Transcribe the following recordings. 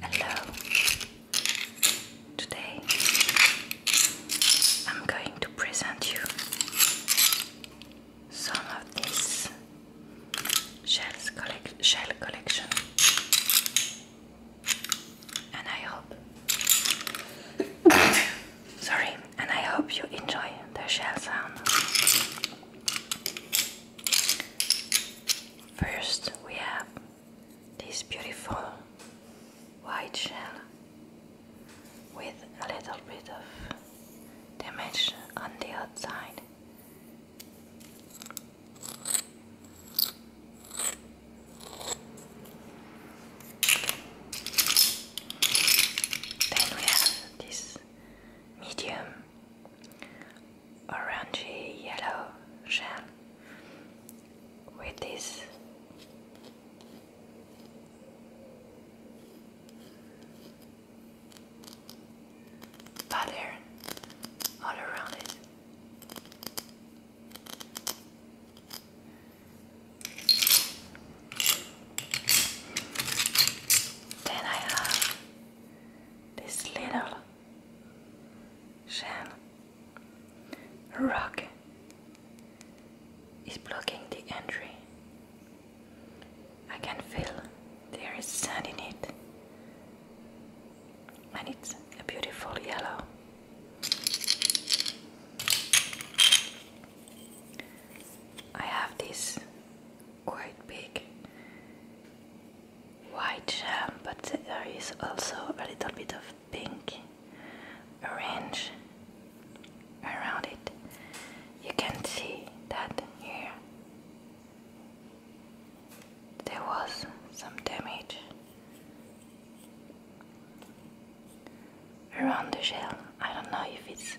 Hello. Today I'm going to present you some of this shell collection, and I hope sorry, and I hope you enjoy the shell sound. First, we have this beautiful white shell with a little bit of damage on the outside. Then we have this medium orangey yellow shell with this pattern all around it. Then I have this little Shen Rock is blocking the entry. I can feel there is sand in it, and it's a beautiful yellow. I have this quite big white jam, but there is also a little bit of pink orange around it. You can see that here there was some damage around the shell. I don't know if it's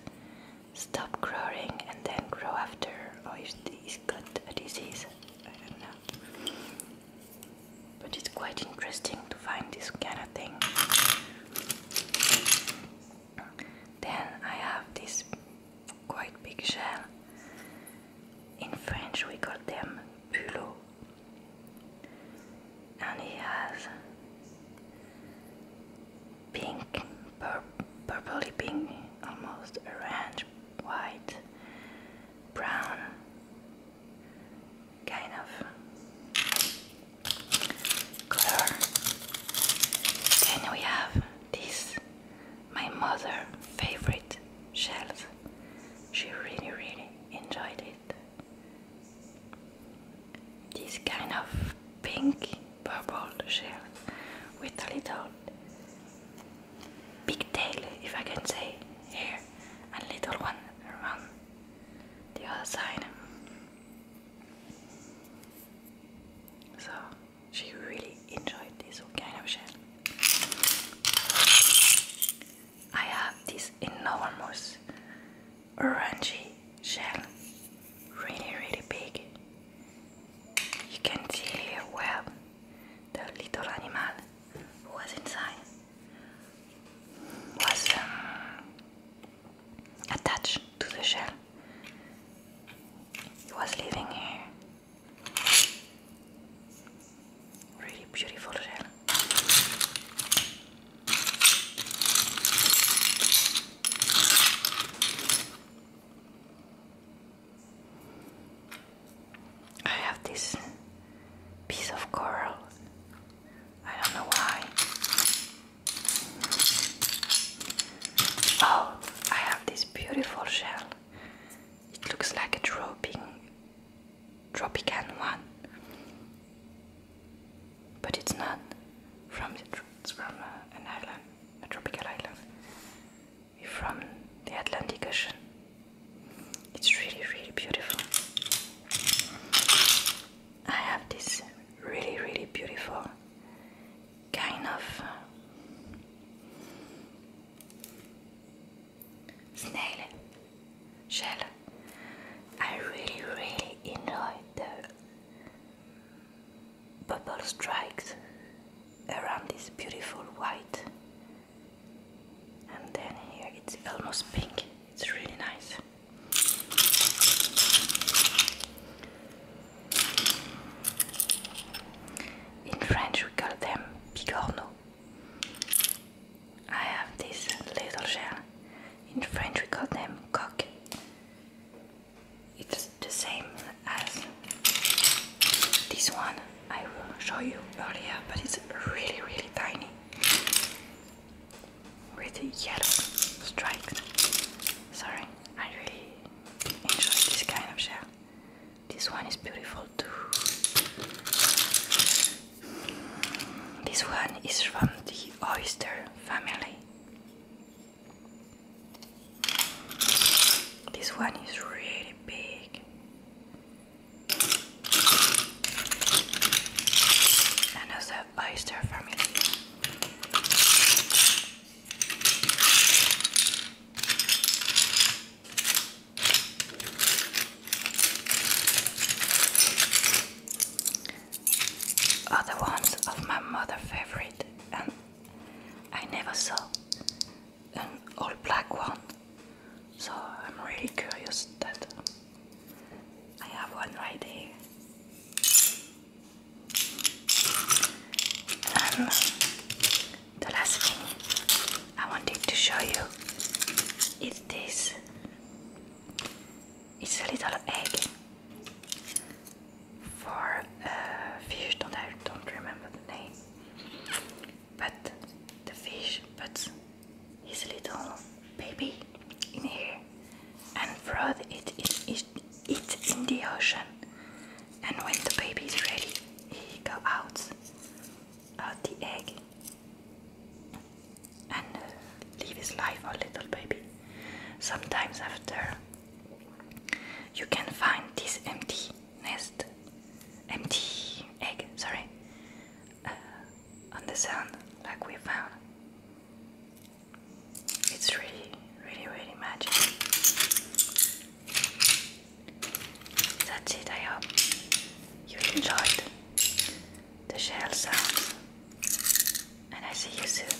stop growing and then grow after or if it's got a disease. I don't know. But it's quite interesting to find this kind of thing. Then I have this quite big shell. In French we call them bulot. And it has pink, purpley pink, almost orange white, brown, kind of color. Then we have this, my mother' favorite shells. She really, really enjoyed it. This kind of pink purple shell with a little Big tail, if I can say, here, and little one around the other side. So she really enjoyed this kind of shell. I have this enormous orangey shell, really, really big you can see here where the little animal who was inside was um, attached to the shell. He was living here. Really beautiful shell. I have this piece of coral. I don't know why. Oh, I have this beautiful shell. It looks like a tropic, tropican one, but it's not from the, tropics. from uh, an island, a tropical island from the Atlantic Ocean. It's really, really beautiful. I have this really, really beautiful kind of uh, snail shell. I really, really enjoy the bubble strikes around this beautiful white and then here it's almost pink it's really nice in French we call them bigorno. I have this little shell in French we call them coq it's the same as this one I will show you earlier, but it's really, really tiny with the yellow stripes. Sorry, I really enjoy this kind of shell. This one is beautiful too. This one is from the oyster family. This one is really big. Another oyster family. Other ones of my mother favorite and I never saw an all black one. So I'm really curious that I have one right here. And the last thing I wanted to show you is this. It's a little egg for a fish that I don't remember the name but the fish puts his little baby in here and throws it, it, it, in the ocean. And when the baby is ready, he go out, out the egg, and uh, live his life, a little baby. Sometimes after, you can find this empty nest, empty egg, sorry, uh, on the sand like we found. It's really, really, really magic. That's it, I hope you enjoyed the shell sound, and I see you soon.